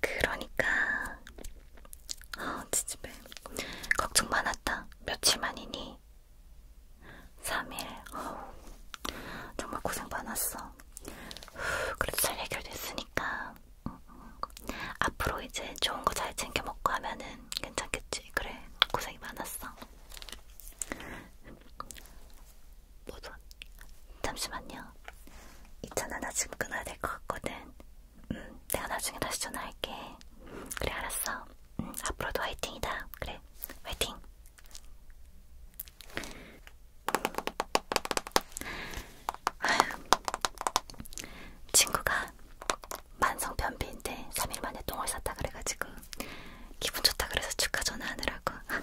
그러니까 아 어, 지지배 걱정 많았다 며칠 만이니 3일 어우 정말 고생 많았어 후, 그래도 잘 해결됐으니까 응, 음, 응. 음. 앞으로 이제 좋은 거 잘 챙겨 먹고 하면은 너는 괜찮겠지? 그래, 고생이 많았어. 뭐든 잠시만요. 이 전화 나 지금 끊어야 될 것 같거든. 음, 내가 나중에 다시 전화할게. 그래, 알았어. 음, 앞으로도 화이팅이다. 그래, 화이팅. 아휴, 친구가 만성편비인데 3일 만에 똥을 쌌다 그래가지고 기분 좋다 그래서 축하 전화하느라고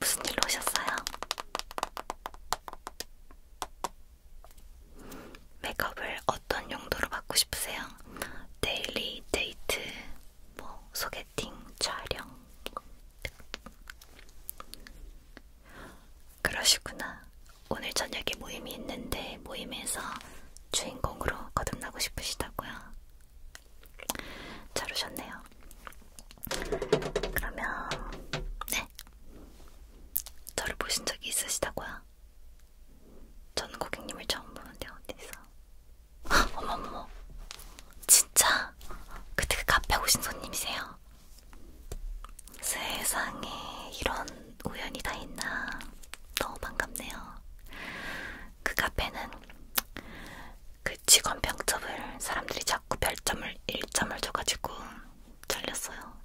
무슨 일로 오셨어요? 메이크업을 어떤 용도로 받고 싶으세요? 데일리, 데이트, 뭐 소개팅, 촬영 그러시구나. 오늘 저녁에 모임이 있는데 모임에서 주인공으로 거듭나고 싶으시다고요. 잘 오셨네요. 그러면 네. 저를 보신 적이 있으시다고요? 저는 고객님을 처음 보는데 어디서? 어머머, 진짜 그때 그 카페 오신 손님이세요? 세상에 이런 우연이 다 있나 너무 반갑네요. 그 카페는 그 직원 평점을 사람들이 자꾸 별점을 1점을 줘가지고 잘렸어요.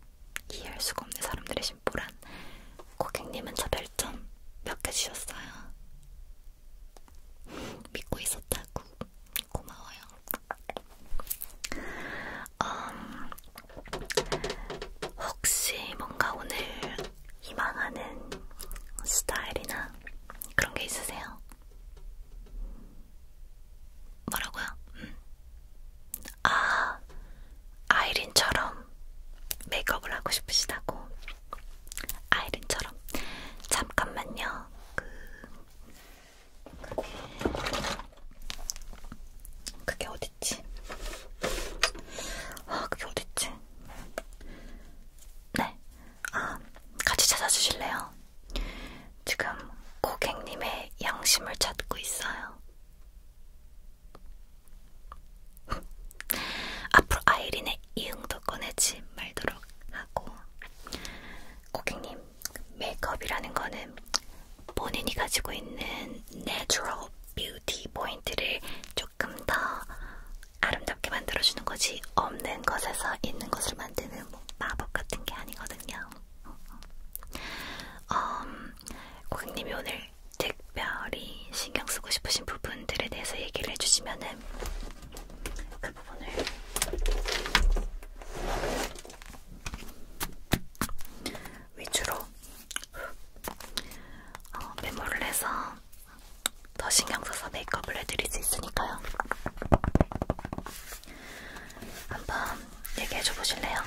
이해할 수가 없는 사람들의 심보란 고객님은 저 별점 몇 개 주셨어요. 믿고 있었다고 고마워요. 음, 혹시 뭔가 오늘 희망하는 스타일이나 그런 게 있으세요? 뭐라고요? 음. 아, 아이린처럼 메이크업을 하고 싶으시다고. 아이린처럼. 잠깐만요. 그 그게 그게 어딨지? 아 그게 어딨지? 네, 아 같이 찾아주실래요? 지금 고객님의 양심을 찾고 있어요. 앞으로 아이린의 이응도 꺼내지 말도록 하고 고객님 메이크업이라는 거는 본인이 가지고 있는 내추럴 뷰티 포인트를 조금 더 아름답게 만들어주는 거지 없는 것에서 있는 것을 만드는 뭐 마법 같은 게 아니거든요. 음, 고객님이 오늘 특별히 신경 쓰고 싶으신 부분들에 대해서 얘기를 해주시면은 그 부분을 위주로 어, 메모를 해서 더 신경 써서 메이크업을 해드릴 수 있으니까요. 한번 얘기해줘 보실래요?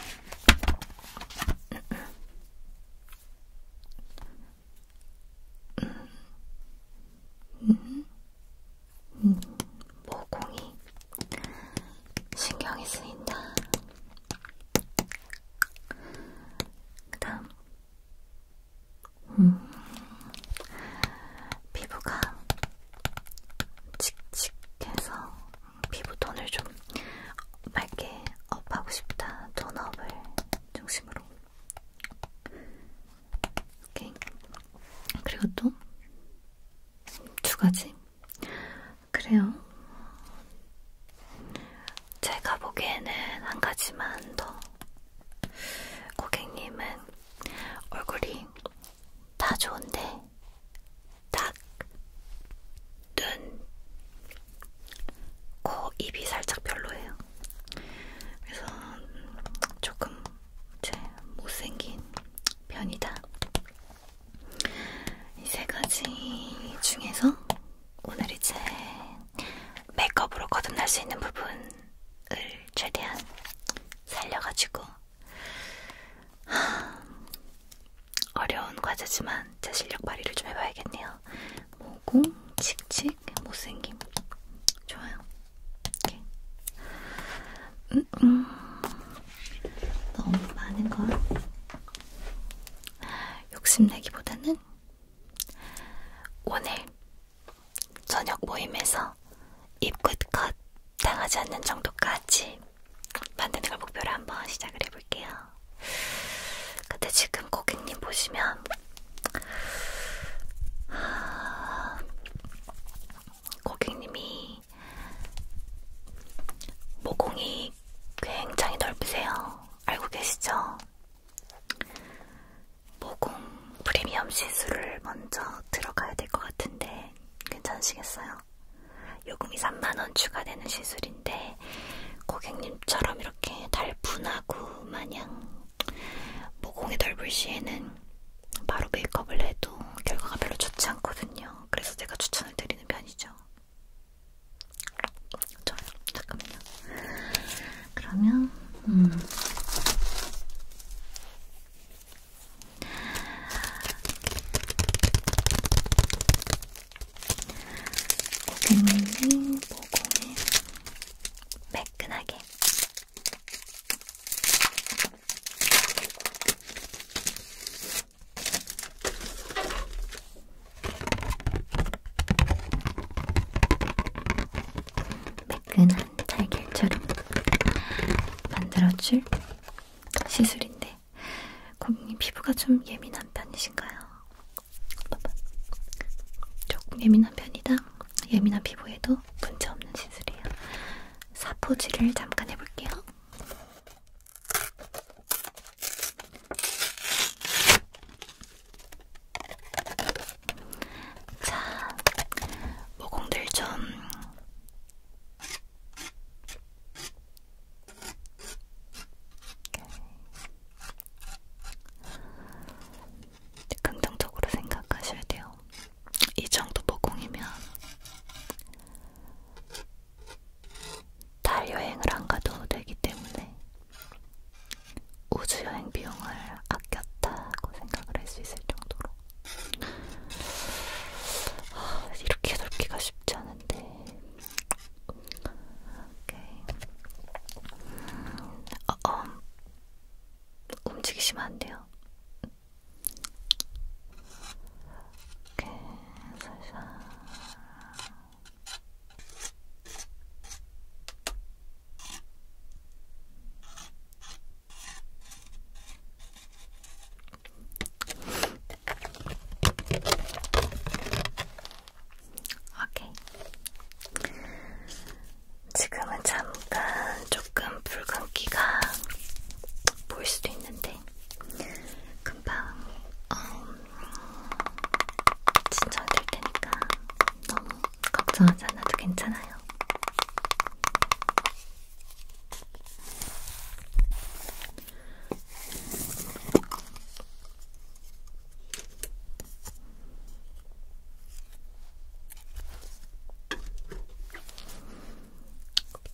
음, 음. 음. 음, 모공이 신경이 쓰인다. 그다음, 음, 피부가 칙칙해서 피부 톤을 좀 맑게 업하고 싶다. 톤업을 중심으로. 오케이. 그리고 또두 가지. 그래요. 제가 보기에는 한 가지만 더. 고객님은 얼굴이 다 좋은데, 딱, 눈, 코, 입이 살짝 별로예요. 그래서 조금 제 못생긴 편이다. 이세 가지 중에서 오늘 이제 메이크업으로 거듭날 수 있는 부분을 최대한 살려가지고 하, 어려운 과제지만 제 실력 발휘를 좀 해봐야겠네요. 모공, 뭐 칙칙, 못생김. 좋아요. 이렇게. 음, 음. 너무 많은 걸 욕심내기보다는 오늘 저녁 모임에서 입끝컷 당하지 않는 정도까지 만드는 걸 목표로 한번 시작을 해볼게요. 근데 지금 고객님 보시면 아, 고객님이 모공이 굉장히 넓으세요. 알고 계시죠? 모공 프리미엄 시술을 먼저 들어가야 될 것 같은데 괜찮으시겠어요? 요금이 3만원 추가되는 시술인데 고객님처럼 이렇게 달분하고 마냥 모공이 넓을 시에는 바로 메이크업을 해도 결과가 별로 좋지 않거든요. 그래서 제가 추천을 드리는 편이죠. 좋아요. 잠깐만요. 그러면 음. 고객님이 모공을 매끈하게 매끈한 달걀처럼 만들어줄 시술인데 고객님 피부가 좀 예민한 편이신가요? 조금 예민한 편이다? 예민한 피부에도 문제없는 시술이에요. 사포질을 잠깐 해볼게요. 자, 모공들 좀 긍정적으로 생각하셔야 돼요. 이 정도 모공이면 달 여행을 안 가도 되기 때문에 우주 여행 비용을 아꼈다고 생각을 할 수 있을 정도로 아, 이렇게 넓기가 쉽지 않은데 오케이 음, 어, 어, 움직이시면 안 돼요. 이렇게 살살 오케이. 지금은 잠깐 조금 붉은기가 보일 수도 있는데 있는데 금방 어, 음, 진정될 테니까 너무 걱정하지 않아도 괜찮아요.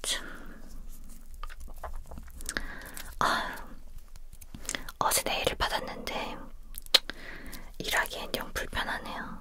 참. 아유, 어제 내일을 받았는데 일하기엔 영 불편하네요.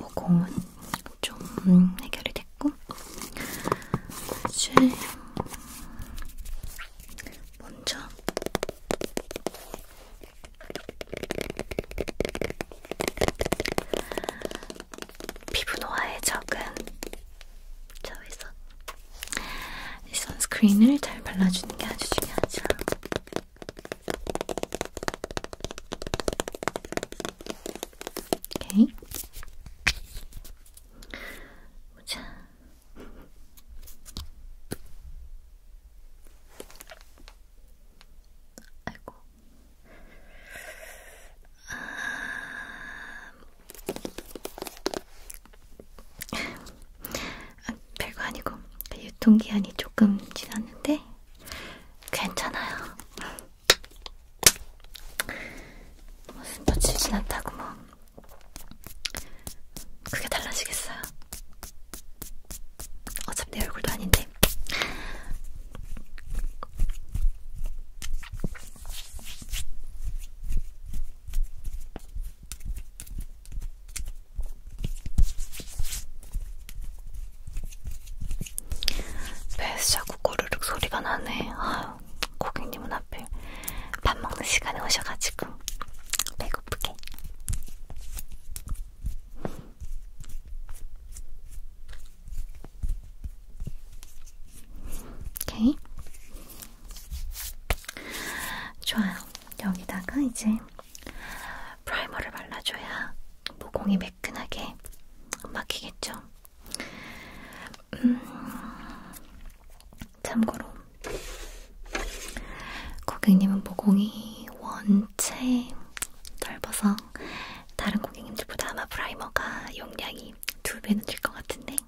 모공은 좀 해결이 됐고 이제 먼저 피부 노화에 적은 저에서 이 선스크린을 잘 발라주는 게 아주 중요하죠. 오케이. 보자. 아이고. 아... 아, 별거 아니고 네, 유통기한이 조금 지났는데 괜찮아요. 무슨 뭐 며칠 지났다고 뭐 그게 달라지겠어요. 어차피 내 얼굴도 아닌데. 배에서 자꾸 꼬르륵 소리가 나네. 아유, 고객님은 앞에 밥 먹는 시간에 오셔가지고 배고프게. 오케이. 좋아요. 여기다가 이제 프라이머를 발라줘야 모공이 매끈하게 막히겠죠. 음, 참고로 고객님은 모공이 원체 넓어서 다른 고객님들보다 아마 프라이머가 용량이 두 배는 될 것 같은데 건데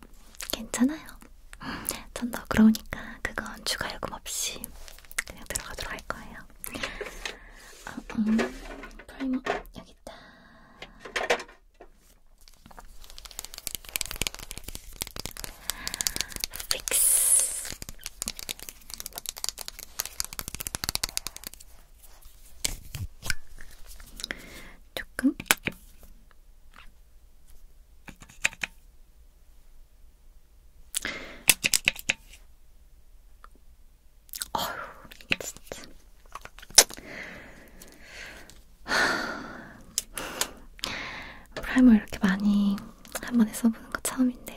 괜찮아요. 전 너그러우니까 그건 추가 요금 없이 그냥 들어가도록 할 거예요. 아, 음, 프라이머 여기 있다. 픽스. 조금 어휴, 이게 진짜. 프라이머 이렇게 많이 한 번에 써보는 거 처음인데.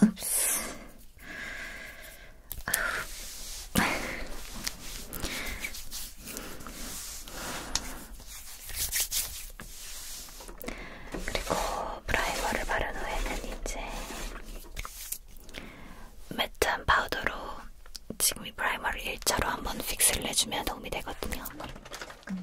Oops. 그리고 프라이머를 바른 후에는 이제 매트한 파우더로 지금 이 프라이머를 일자로 한번 픽스를 해주면 도움이 되거든요. 음.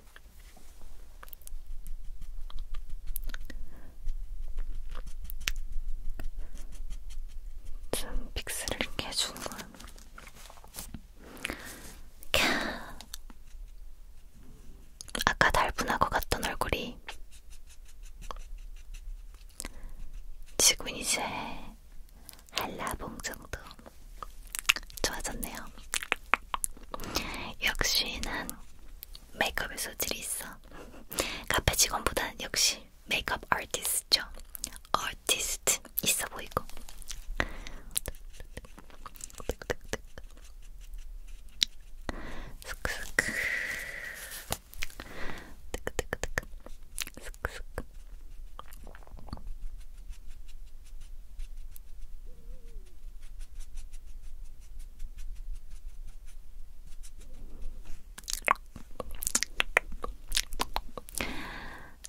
좀 픽스를 이렇게 해주는 거야. 아까 달분하고 갔던 얼굴이 지금 이제 한라봉 정도 좋아졌네요. 역시 난 메이크업에 소질이 있어. 카페 직원보다는 역시 메이크업 아티스트죠. 아티스트 있어 보이고. 스크스크. 뜨끄뜨끄뜨끄. 스크스크.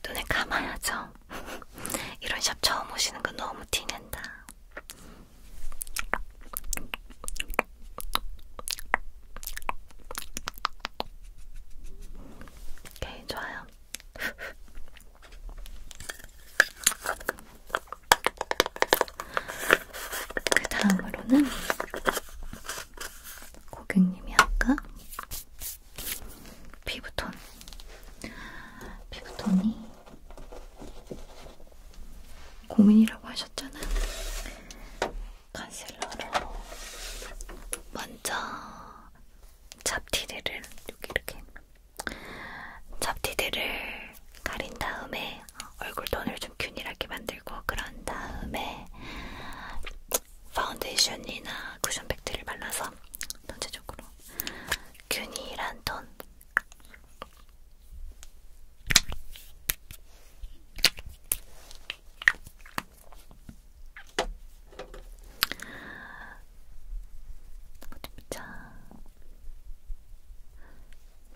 눈을 감아야죠. 이런 샵 처음 오시는 거 너무 티낸다. 오케이, 좋아요. 그 다음으로는 고객님이 아까 피부톤 피부톤이 고민이라고 하셨잖아요. 컨실러로 먼저 잡티를 여기 이렇게 잡티들을 가린 다음에 어, 얼굴 톤을 좀 균일하게 만들고 그런 다음에 파운데이션이나 쿠션 팩트를 발라서 전체적으로 균일한 톤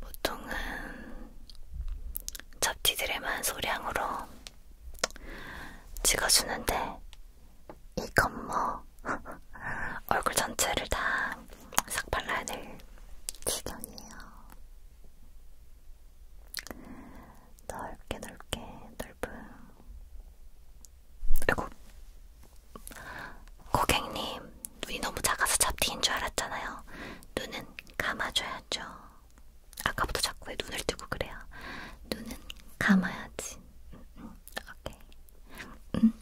보통은 잡티들에만 소량으로 찍어주는데 이건 뭐 얼굴 전체를 다 싹 발라낼 지경이에요. 넓게 넓게 넓은 그리고 고객님 눈이 너무 작아서 잡티인 줄 알았잖아요. 눈은 감아줘야죠. 아까부터 자꾸 왜 눈을 뜨고 그래요? 눈은 감아야지. 음, 음. 오케이. 음.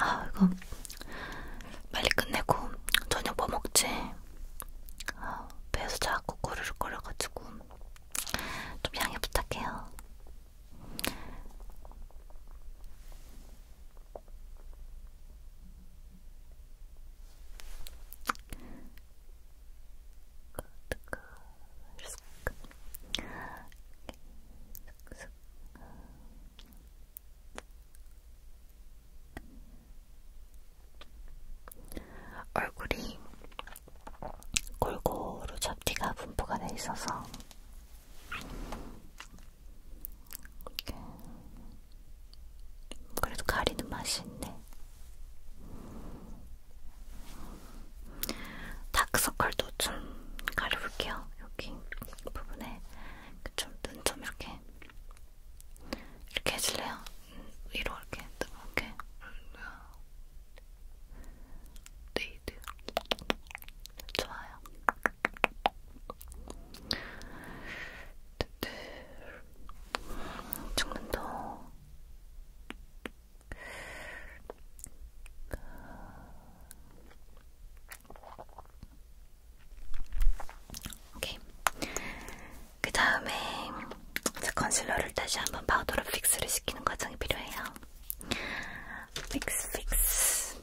아 이거 빨리 끝내고 저녁 뭐 먹지? 아, 배에서 자꾸 꼬르륵 거려가지고 좀 양해 부탁해요. 얼굴이 골고루 잡티가 분포가 돼 있어서 이렇게. 그래도 가리는 맛이 있네. 다크서클도 좀 가려볼게요. 여기 부분에 좀 눈좀 좀 이렇게 이렇게 해줄래요? 음, 위로 이렇게 이렇게 네이드 좋아요. 조금 네. 더 오케이. 그 다음에 컨실러를 다시 한번 파우더로 픽스를 시키는 과정이 필요해요. Fix, fix.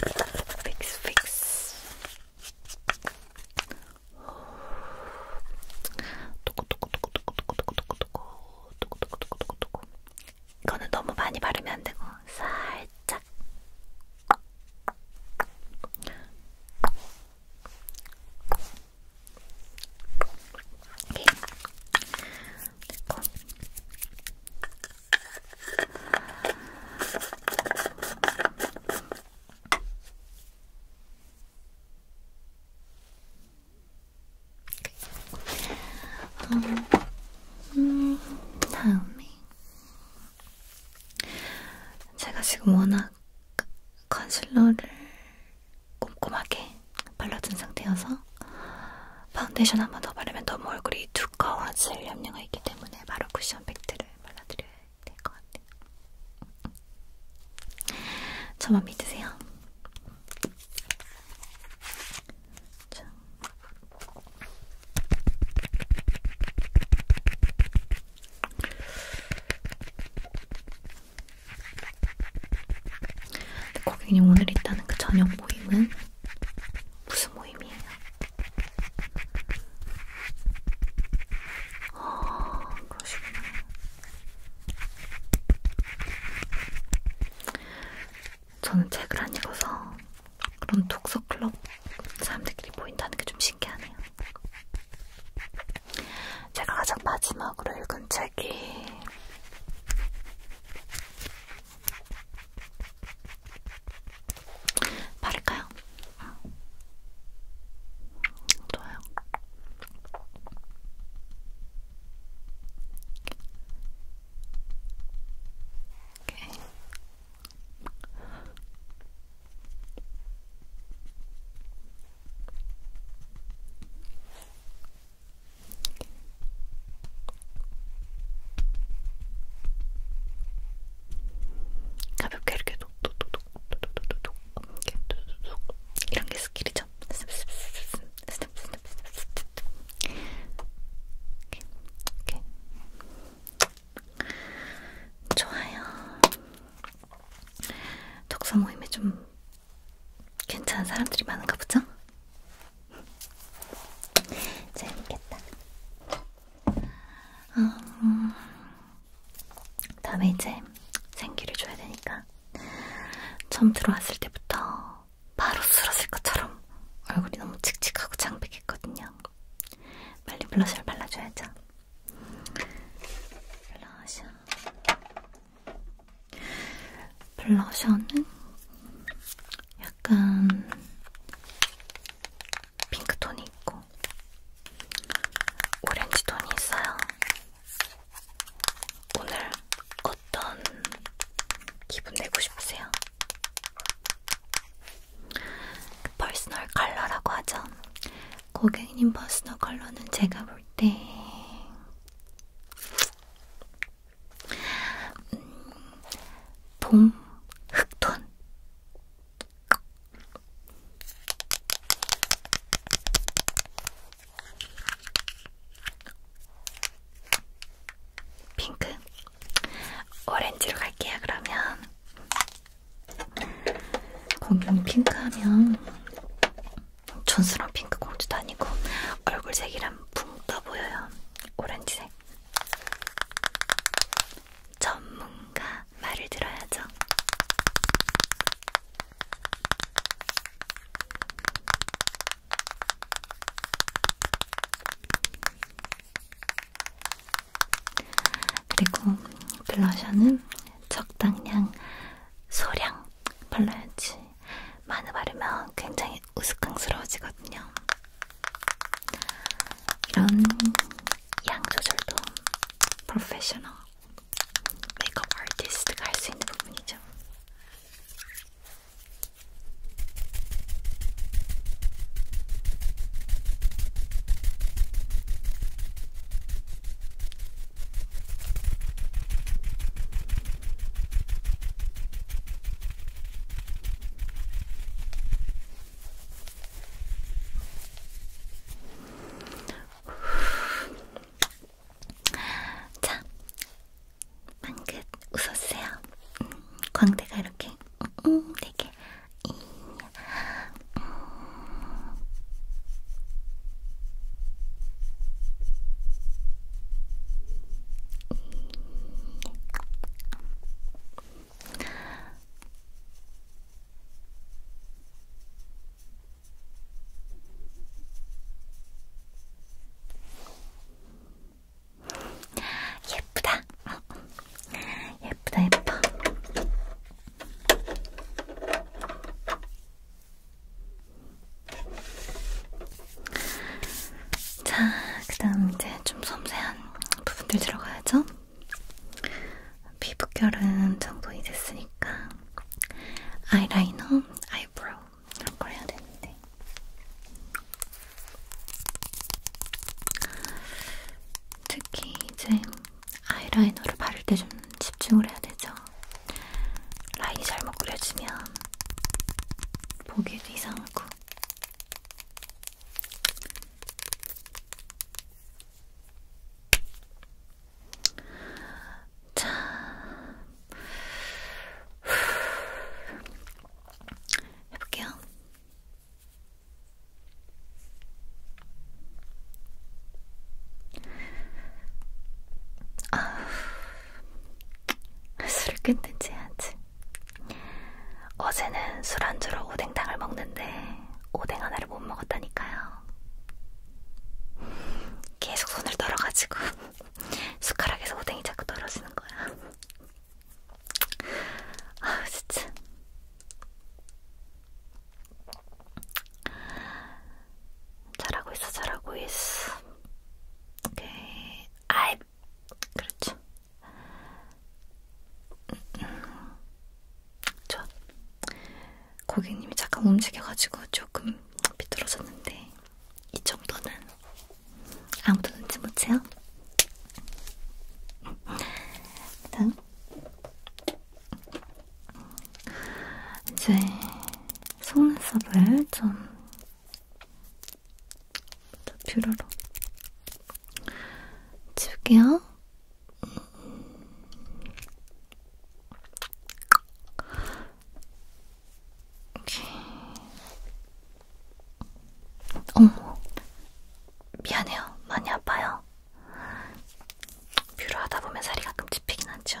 Fix, fix. 이거는 너무 많이 바르면 안 되고 살짝 이렇게 됐고 어, 음, 다음에 제가 지금 워낙 컨실러를 꼼꼼하게 발라둔 상태여서 파운데이션 한번 더 바르면 너무 얼굴이 두꺼워질 염려가 있기 때문에 바로 쿠션 팩트를 발라드려야 될 것 같아요. 저만 믿으세요. 자. 고객님 오늘 있다는 그 저녁 모임은 무슨 모임이에요? 아, 그러시구나. 저는 책을 안 읽어서 그런 독서 클럽 사람들끼리 모인다는 게 좀 신기하네요. 제가 가장 마지막으로 읽은 책이 바를까요? 응. 좋아요. 오케이. 가볍게 이렇게 톡톡톡톡톡톡톡톡 이렇게 톡톡톡 이런 게 스킬이죠. 이렇게 좋아요. 독서 모임에 좀 괜찮은 사람들이 많은가 보죠? 재밌겠다. 음, 다음에 이제 생기를 줘야 되니까 처음 들어왔을 때부터 바로 쓰러질 것처럼 얼굴이 너무 칙칙하고 창백했거든요. 빨리 블러셔를 발라줘야죠. 블러셔. 블러셔는 약간 핑크톤이 있고 오렌지톤이 있어요. 오늘 어떤 기분 내고 싶으세요? 그 퍼스널 컬러라고 하죠. 고객님 퍼스널 컬러는 제가 볼때 음, 봄 흑톤 핑크 오렌지로 갈게요 그러면 공룡 핑크하면 촌스러운 핑크 공주도 아니고 얼굴색이랑 붕 떠보여요. 오렌지색. 전문가 말을 들어야죠. 그리고 블러셔는 적당량 소량 발라야지 많이 바르면 굉장히 우스꽝스러워지거든요. 이런 양 조절도 프로페셔널 메이크업 아티스트가 할 수 있는 부분이죠. 자, 방긋 웃었어요. 음, 광대가 이렇게 음, 음 되게 음, 예쁘다. 예쁘다 예뻐. 자, 그 다음 이제 좀 섬세한 부분들 들어가야죠. 피부결은 정돈이 됐으니까 아이라이너, 아이브로우 이런 걸 해야 되는데 특히 이제 아이라이너를 바를 때 좀 집중을 해야 되죠. 라인이 잘못 그려지면 보기에도 이상하고 자 해볼게요. 아, 술을 끊든지 해야지. 어제는 술안주로 오뎅탕을 먹는데 오뎅 하나를 못 먹었다니까요. 계속 손을 떨어가지고 숟가락에서 오뎅이 자꾸 떨어지는 거야. 아 진짜. 잘하고 있어, 잘하고 있어. 오케이. 네, 아이, 그렇죠. 음, 좋아. 고객님이 잠깐 움직여가지고 조금 비뚤어졌는데 이 정도는 아무도 눈치 못 채요. 다음. 이제 속눈썹을 좀 뷰러로 지울게요. 오케이. 어머, 미안해요. 많이 아파요. 뷰러 하다 보면 살이 가끔 찝히긴 하죠.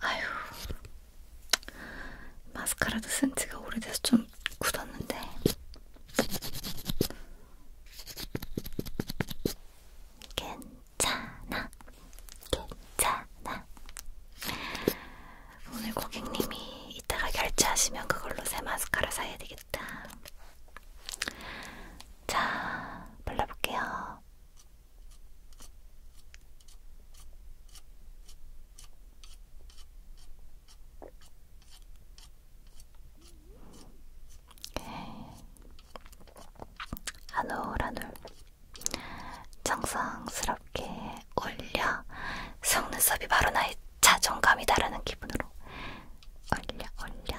아유, 마스카라도 쓴 지가 오래돼서 좀 굳었는데. 괜찮아, 괜찮아. 오늘 고객님이 이따가 결제하시면 그걸로 새 마스카라 사야 되겠다. 되겠다. 자, 발라볼게요. 한올 네. 한올 정성스럽게 올려 속눈썹이 바로 나의 자존감이다라는 기분으로 올려 올려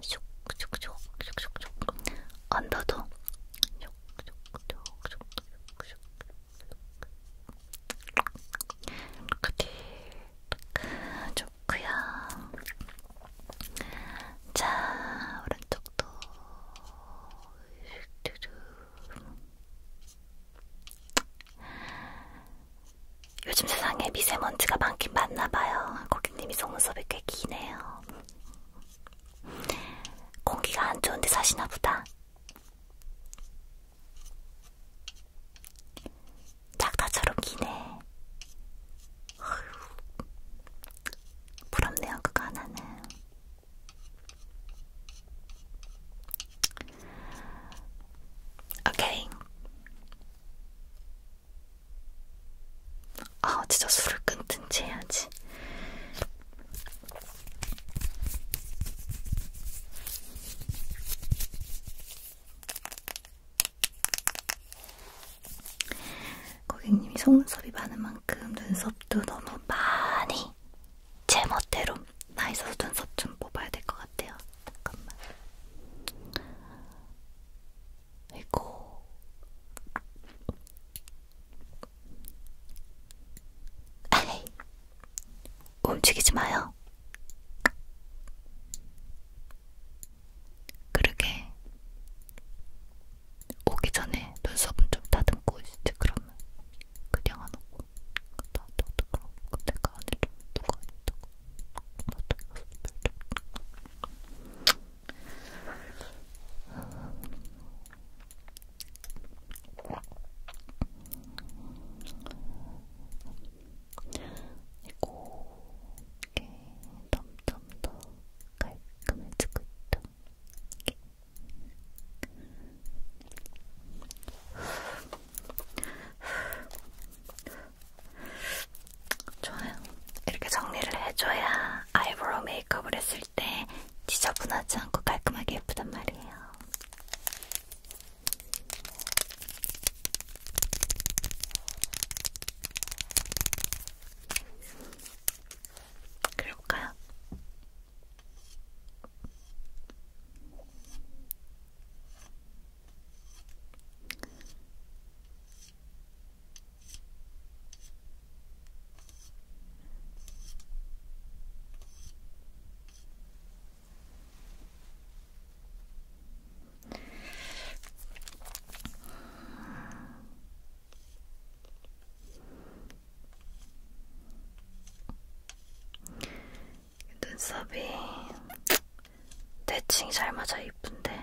슉슉슉슉슉슉 언더도 슉슉슉슉슉슉슉 좋구요 자 오른쪽도 슉 요즘 세상에 미세먼지가 많긴 많나봐요. 고객님이 속눈썹이 꽤 기네요. 공기가 안 좋은데 사시나보다. 작다처럼 기네. 어휴, 부럽네요, 그거 하나는. 오케이. 아 진짜 술을 끊든지 해야지. 고객님이 속눈썹이 많은 만큼 눈썹도 너무 많이 제 멋대로 나 있어서 눈썹 좀 뽑아야 될 것 같아요. 잠깐만. 아이고. 아이. 움직이지 마요. 그러게. 오기 전에 눈썹은 좀 다듬고 있지 그러면 그냥 안 오고 나도 그럼 내가 그 안에 좀 누가 있다고 이렇게 점점 더 깔끔해지고 있다. 이렇게. 저는 이렇게 정리를 해줘야 아이브로우 메이크업을 했을 때 지저분하지 않고 깔끔하게 예쁘단 말이에요. 그려볼까요? 눈썹이 대칭 잘 맞아 이쁜데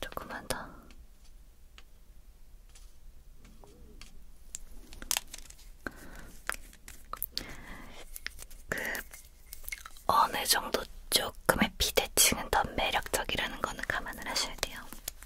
조금만 더 그, 어느 정도 조금의 비대칭은 더 매력적이라는 거는 감안을 하셔야 돼요.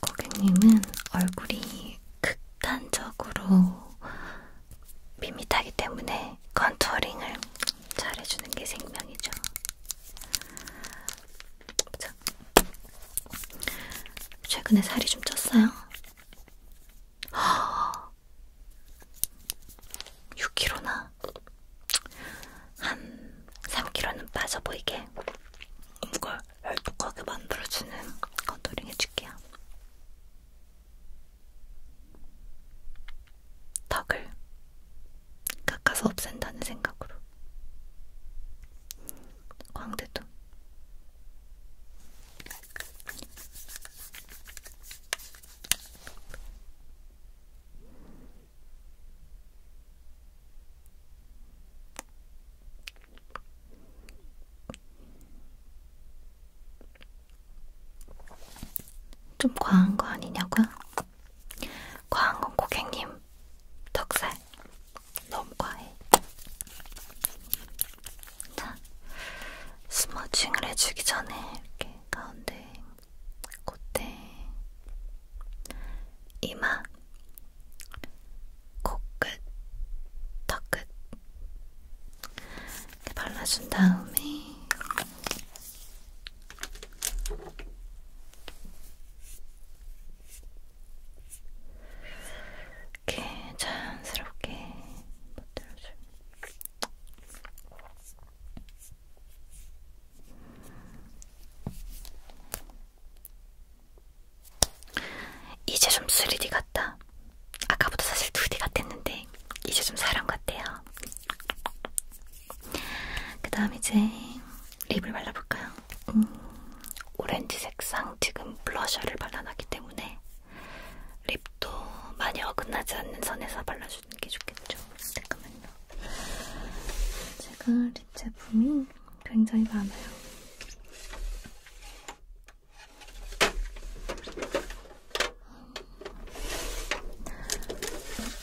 고객님은 얼굴이 극단적으로 밋밋하기 때문에 컨투어링을 잘 해주는 게 생명이죠. 자. 최근에 살이 좀 쪘어요? 6kg나? 한 3kg는 빠져 보이게. 이걸 음, 얄팍하게 만들어주는 컨투링 해줄게요. 턱을 깎아서 없앤다는 생각으로 광대도 좀 과한 거 아니냐고요? 과한 건 고객님 덕살 너무 과해. 자, 스머징을 해주기 전에 이렇게 가운데, 콧대, 이마 코끝, 턱끝 이렇게 발라준 다음에 이렇게 자연스럽게 만들어줘요. 이제 좀 3D 같다. 아까보다 사실 2D 같았는데 이제 좀 사람 같대요. 그 다음 이제 립을 발라볼까요? 음, 오렌지 색상 지금 블러셔를 발라놨기 때문에 립도 많이 어긋나지 않는 선에서 발라주는 게 좋겠죠. 잠깐만요. 제가 립 제품이 굉장히 많아요.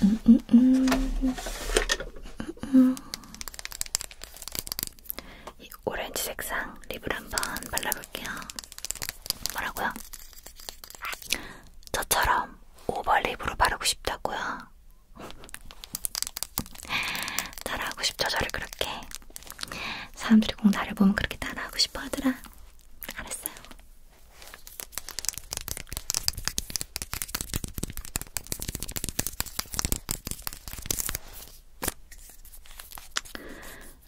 음, 음, 음. 음, 음. 이 오렌지 색상 립을 한번 발라볼게요. 뭐라고요? 저처럼 오버립으로 바르고 싶다고요? 따라하고 싶죠, 저를 그렇게. 사람들이 꼭 나를 보면 그렇게 따라하고 싶어 하더라. 알았어요.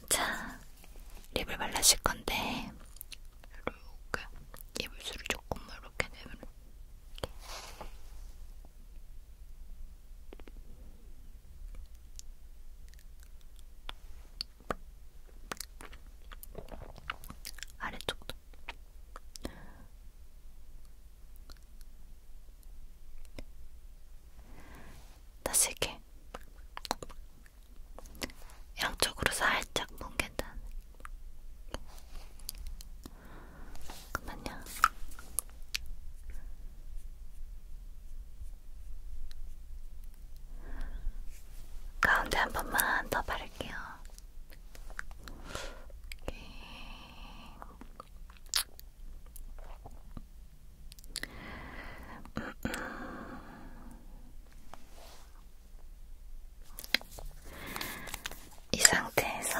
자, 립을 발라실 건데, 이렇게 이불수를 조금만 이렇게 내면 이렇게. 아래쪽도 다시 이렇게 양쪽으로 살짝 뭉갠다는 잠깐만요. 가운데 한 번만 더 바를게요. 이렇게. 음, 음. 이 상태에서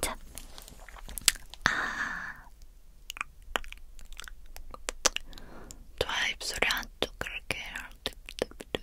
자, 아, 좋아 입술이 한쪽 그렇게 오케이.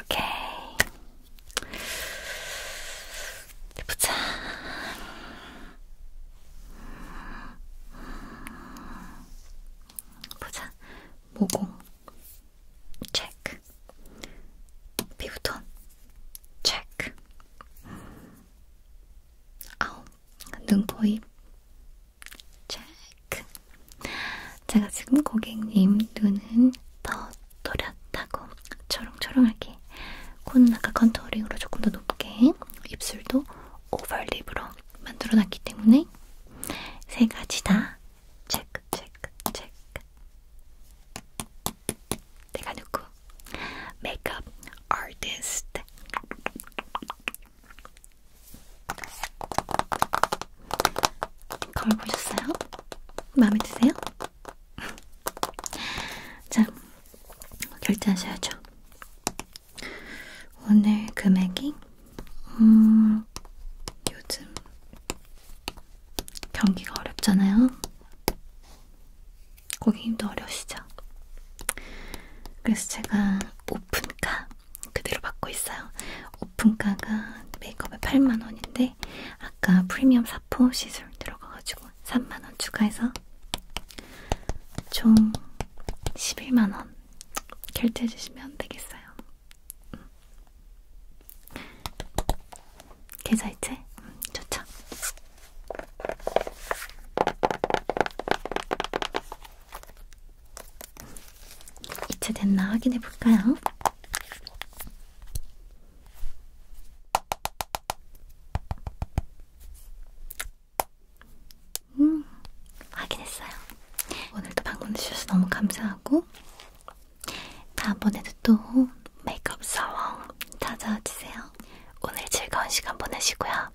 오케이. 보자. 보자. 모공. 체크. 피부톤. 체크. 아우. 눈, 코, 입. 체크. 제가 지금 고객님 눈은 더 또렷하고 초롱초롱하게 코는 아까 컨투어링으로 조금 더 높게 입술도 오버립으로 만들어놨기 때문에 세 가지 다 체크 체크 체크 내가 누구? 메이크업 아티스트 거울 보셨어요? 마음에 드세요? 자, 결제하셔야죠. 오늘 금액이, 음, 요즘 경기가 어렵잖아요. 고객님도 어려우시죠? 그래서 제가 오픈가 그대로 받고 있어요. 오픈가가 메이크업에 8만원인데 아까 프리미엄 사포 시술 들어가가지고 3만원 추가해서 총 11만원 결제해주시면 되겠어요. 음. 계좌이체? 음, 좋죠. 이체됐나 확인해볼까요? 음, 확인했어요. 오늘도 방문해주셔서 너무 감사하고, 다음번에도 또 메이크업 사원 찾아와 주세요. 오늘 즐거운 시간 보내시고요.